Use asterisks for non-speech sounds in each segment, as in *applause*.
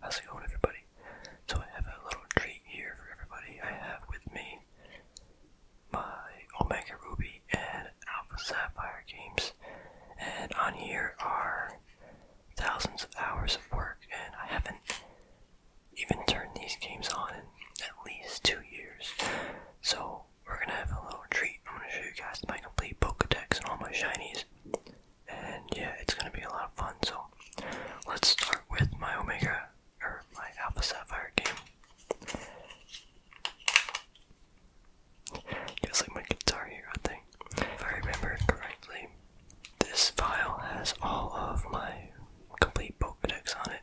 How's it going, everybody? So I have a little treat here for everybody. I have with me my Omega Ruby and Alpha Sapphire games, and on here are thousands of hours of work, and I haven't even turned these games on in at least two years. So we're gonna have a little treat. I'm gonna show you guys my complete Pokedex and all my shinies and yeah, it's gonna be a lot of fun. So let's start with my Omega or my Alpha Sapphire game. Just like my guitar hero thing. If I remember correctly, this file has all of my complete Pokedex on it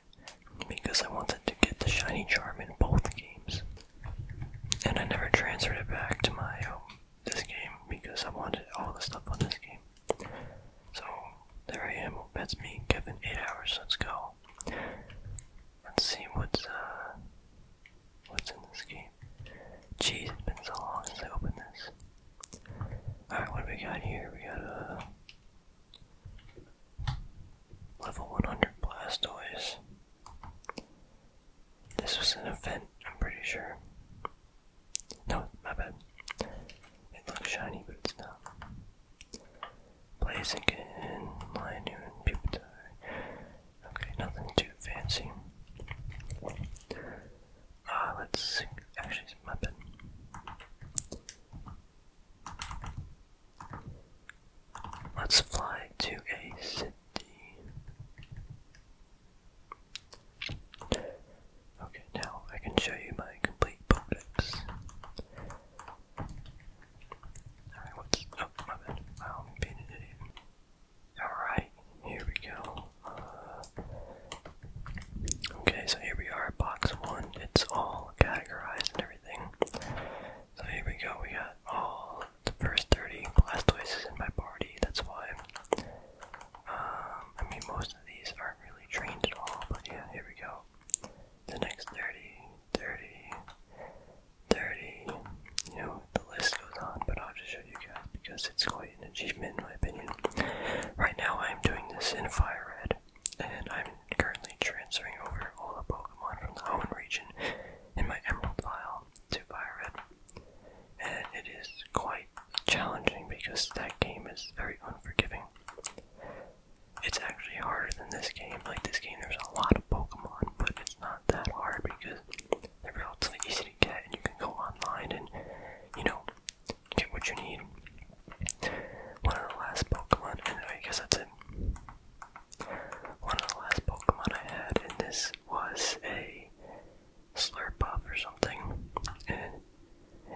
because I wanted to get the shiny charm in both games. And I never transferred it back to my um, this game because I wanted all the stuff on this game. So there I am. That's me, Kevin. Eight hours. Let's go. Let's see what's uh what's in this game. Jeez, it's been so long since I opened this. Alright, what do we got here? We got a uh, level 100 Blastoise. This was an event, I'm pretty sure. No, my bad. It looks shiny, but it's not. Blaziken, Lionel, Pupitar. Okay, nothing too fancy. Ah, let's actually, my bad. Let's fly to a Okay, now I can show you my complete Pokedex. Alright, oh, here we go. Uh, okay, so here we are, box one. It's all categorized and everything. So here we go, we got all the first 30 Blastoise is in my party, that's why. Um, I mean, most of these aren't really trained at all, but yeah, here we go. The next 30, 30, 30, you know, the list goes on, but I'll just show you guys because it's quite an achievement in my opinion. Right now I'm doing this in Fire Red, and I'm currently transferring over all the Pokemon from the home region in my emerald vial to Byron. And it is quite challenging because that game is very unforgiving. It's actually harder than this game. Like this game there's a lot of Pokemon, but it's not that hard because they're relatively easy to get and you can go online and, you know, get what you need. One of the last Pokemon, and I guess that's it. One of the last Pokemon I had in this was a Slurpuff or something, and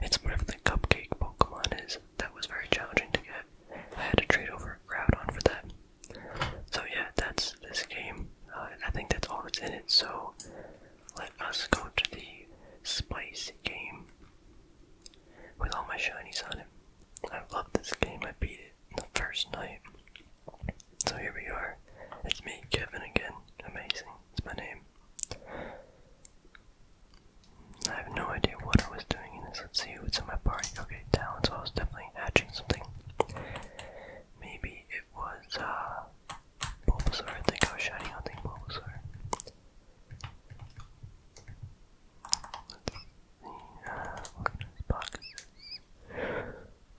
it's whatever the cupcake Pokemon is. That was very challenging to get. I had to trade over Groudon for that. So yeah, that's this game. Uh, I think that's all that's in it. So let us go to the spicy game with all my shinies on it. I love this game. I beat it the first night. So here we are. It's me, Kevin, again. Amazing. It's my name. I have no idea what I was doing in this. Let's see what's in my party. Okay, talent. So I was definitely hatching something. Maybe it was, uh, Bulbasaur. I think I was shiny hunting Bulbasaur.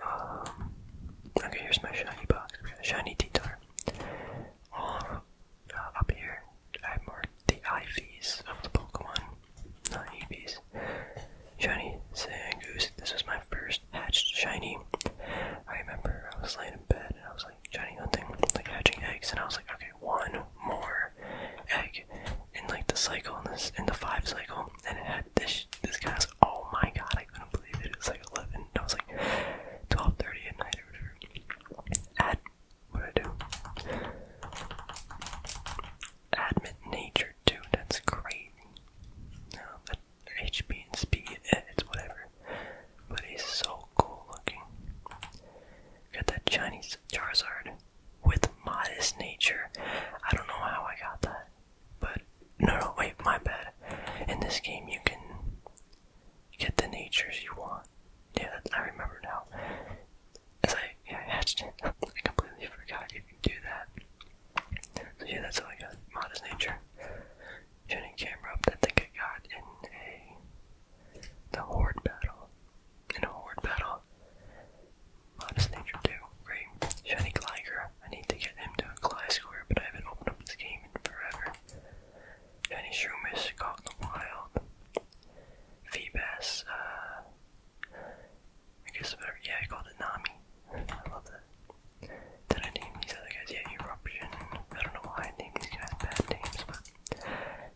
Um, okay, here's my shiny box. shiny Titar. Uh, up here, I marked the IVs of the Pokemon, not EVs. Shiny Zangoose. This was my first hatched shiny. I remember I was laying in bed and I was like shiny hunting, like hatching eggs, and I was like, okay, one more egg in like the cycle in the five cycle and it had this this guy's oh my god I couldn't believe it. It was like eleven I was like twelve thirty at night or whatever. At what I do? Admit nature dude. that's great. No, but HP and speed, eh, it's whatever. But he's so cool looking. Got that Chinese Charizard with modest nature. I don't know how I got that, but no, no, wait, my bad. In this game, you can get the natures you want. Yeah, I remember now. As I, yeah, I hatched it, *laughs* I completely forgot you can do that. So yeah, that's all I got modest nature. Tuning camera up, I think I got in a the Horde Battle. In a Horde Battle. Modest Nature 2. Great. Shiny Gligar. I need to get him to a Gliscor, but I haven't opened up this game in forever. Shiny Shroomish. Caught in the Wild. Feebas. Uh, I guess Yeah, I called it Nami. I love that. Did I name these other guys? Yeah, Eruption. I don't know why I named these guys bad names, but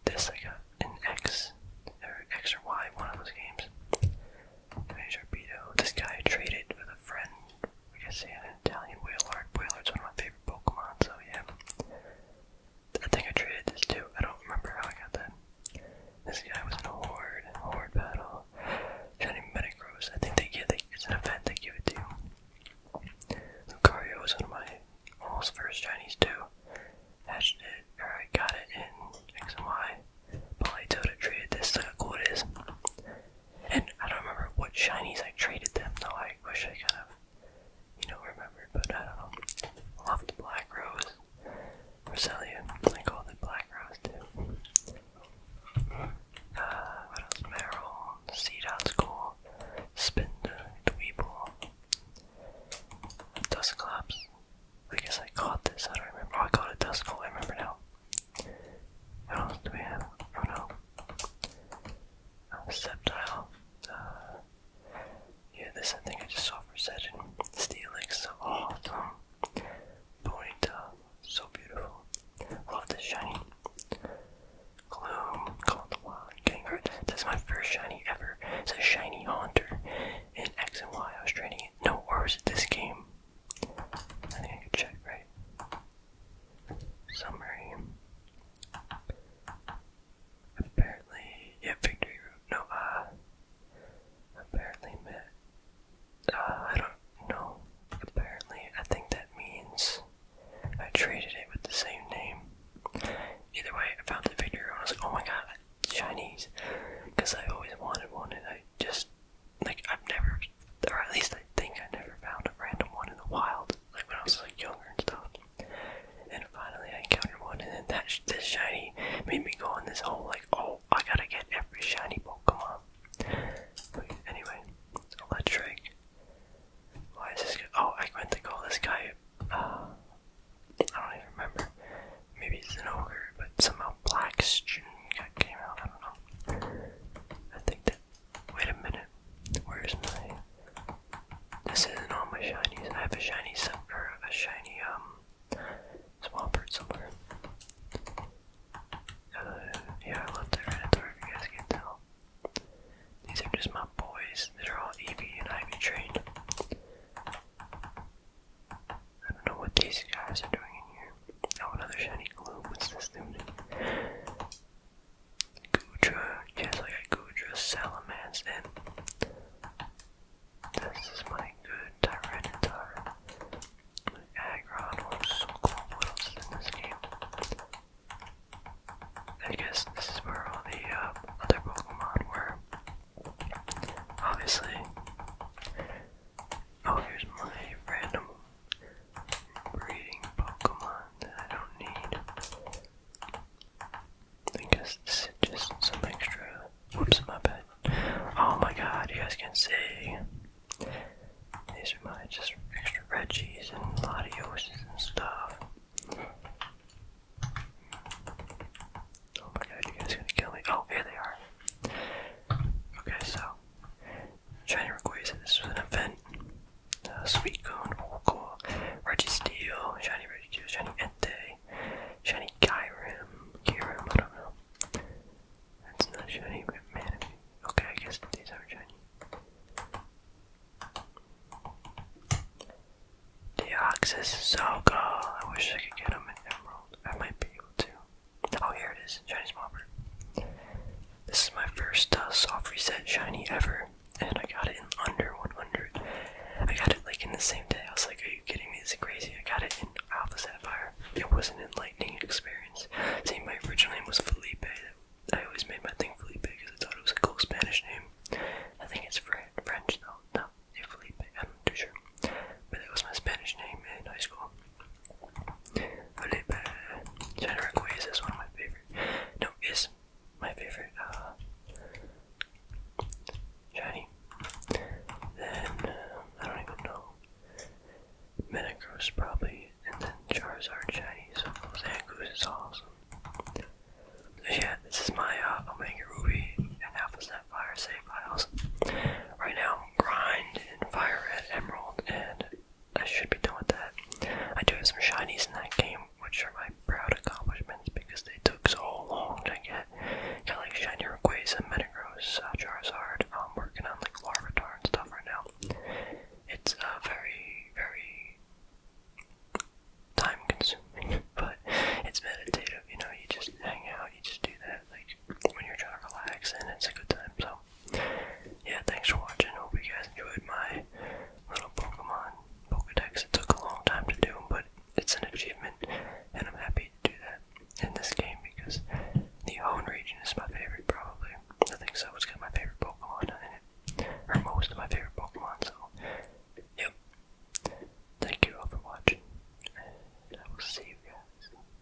this like an X or X or Y, one of those games. There's This guy traded with a friend. I guess he an Italian Wailord. Wailard's one of my favorite Pokemon, so yeah. I think I traded this too. I don't remember how I got that. This guy was in a horde, battle. Shiny Metagross. I think they get yeah, it's an event they give it to Lucario is one of my almost first Chinese too. Hatched it, or got it in X and Y. But I told traded this like a cool it is. And I don't remember what shinies I traded them though. I wish I kind of, you know, remember. but I don't know. Off the Black Rose. Roselia. I called it Black Rose too. Uh, what else? Meryl. Seed.School, Spindweeble, Dust Collapse. I guess I caught this, I don't remember. Oh, I caught a Dust Call, I remember now. do we have? Oh no. Uh, Septile. Uh, yeah, this I think I just saw for Session. Steelix, oh, awesome. Bonita, uh, so beautiful. Love this shiny. Gloom, Call the Wild, Getting This is my first shiny ever. It's a shiny Hunter In X and Y, I was training it. No, or was it this game? I think I could check, right? Summary. Apparently, yeah, Victory Road. No, uh, apparently uh, I don't know. Apparently, I think that means I traded it with the same name. Either way, I found the figure and I was like, oh my god, Chinese. Because I always wanted one and I just, like, I've never, or at least I think I never found a random one in the wild, like when I was like younger and stuff. And finally I encountered one and then that, this shiny made me go on this whole like, oh, I gotta get every shiny Pokemon anyway, electric. Why is this Oh, I went to call this guy. Uh, I don't even remember. Maybe it's an ogre, but somehow Black Stream came out. I don't know. I think that. Wait a minute. Where's my? This isn't all my shinies. I have a shiny or a shiny um swampert somewhere. Uh, yeah, I love their you guys can tell. These are just my boys they are all EV and Ivy trained. I don't know what these guys are doing in here. Oh, another shiny glue. What's this dude? Gudra. Yes, I got Gudra, Salamance, and this is my good Tyranitar. Aggron or Soulclaw Wills in this game. I guess this is where all the uh, other Pokemon were. Obviously. Oh, here's my random breeding Pokemon that I don't need. I guess just some extra. Whoops, my bad. Oh my god, you guys can see. These are my just extra Reggies and Latioses and stuff. Oh my god, you guys are gonna kill me. Oh, here they are. Okay, so, Shiny Rayquaza, this was an event. Uh, sweet Cone, oh cool. Reggie Steel, Shiny Reggie Steel, Shiny Ente, Shiny Kyrim, Kyrim, I don't know. That's not shiny, but man. Okay, I guess these are shiny. The ox is so cool. I wish I could get him an emerald. I might be able to. Oh, here it is. Shiny Smobber. This is my first uh, soft reset shiny ever, and I got it in under 100. I got it like in the same day. I was like, are you kidding me? This is crazy. I got it Alpha Sapphire. It was an enlightening experience. Seeing my original name was Felipe. I always made my thing Felipe because I thought it was a cool Spanish name. I think it's French though. No, it's Felipe. I'm not too sure. But it was my Spanish name in high school. Felipe. General Quays is one of my favorite. No, is my favorite uh, Shiny. Then, uh, I don't even know. Metagross probably, and then Charizard shiny, so Zangoose is awesome. yeah, this is my uh, Omega Ruby and Alpha Sapphire save files. Right now, Grind and Fire Red Emerald, and I should be done with that. I do have some shinies in that game, which are my proud accomplishments because they took so long to get. Yeah, like Shiny Rayquaza, Metagross, uh, Charizard. I'm working on like Larvitar and stuff right now. It's uh, very, very time-consuming, *laughs* but it's meditative. You know, you just hang out, you just do that, like when you're trying to relax, and it's a good time. So, yeah, thanks for watching. Hope you guys enjoyed my little Pokemon Pokedex. It took a long time to do, but it's an achievement, and I'm happy to do that in this game because the Hone region is my favorite, probably. I think so. It's got my favorite Pokemon in it, or most of my favorite Pokemon. So, yep. Thank you all for watching, and I will see you guys.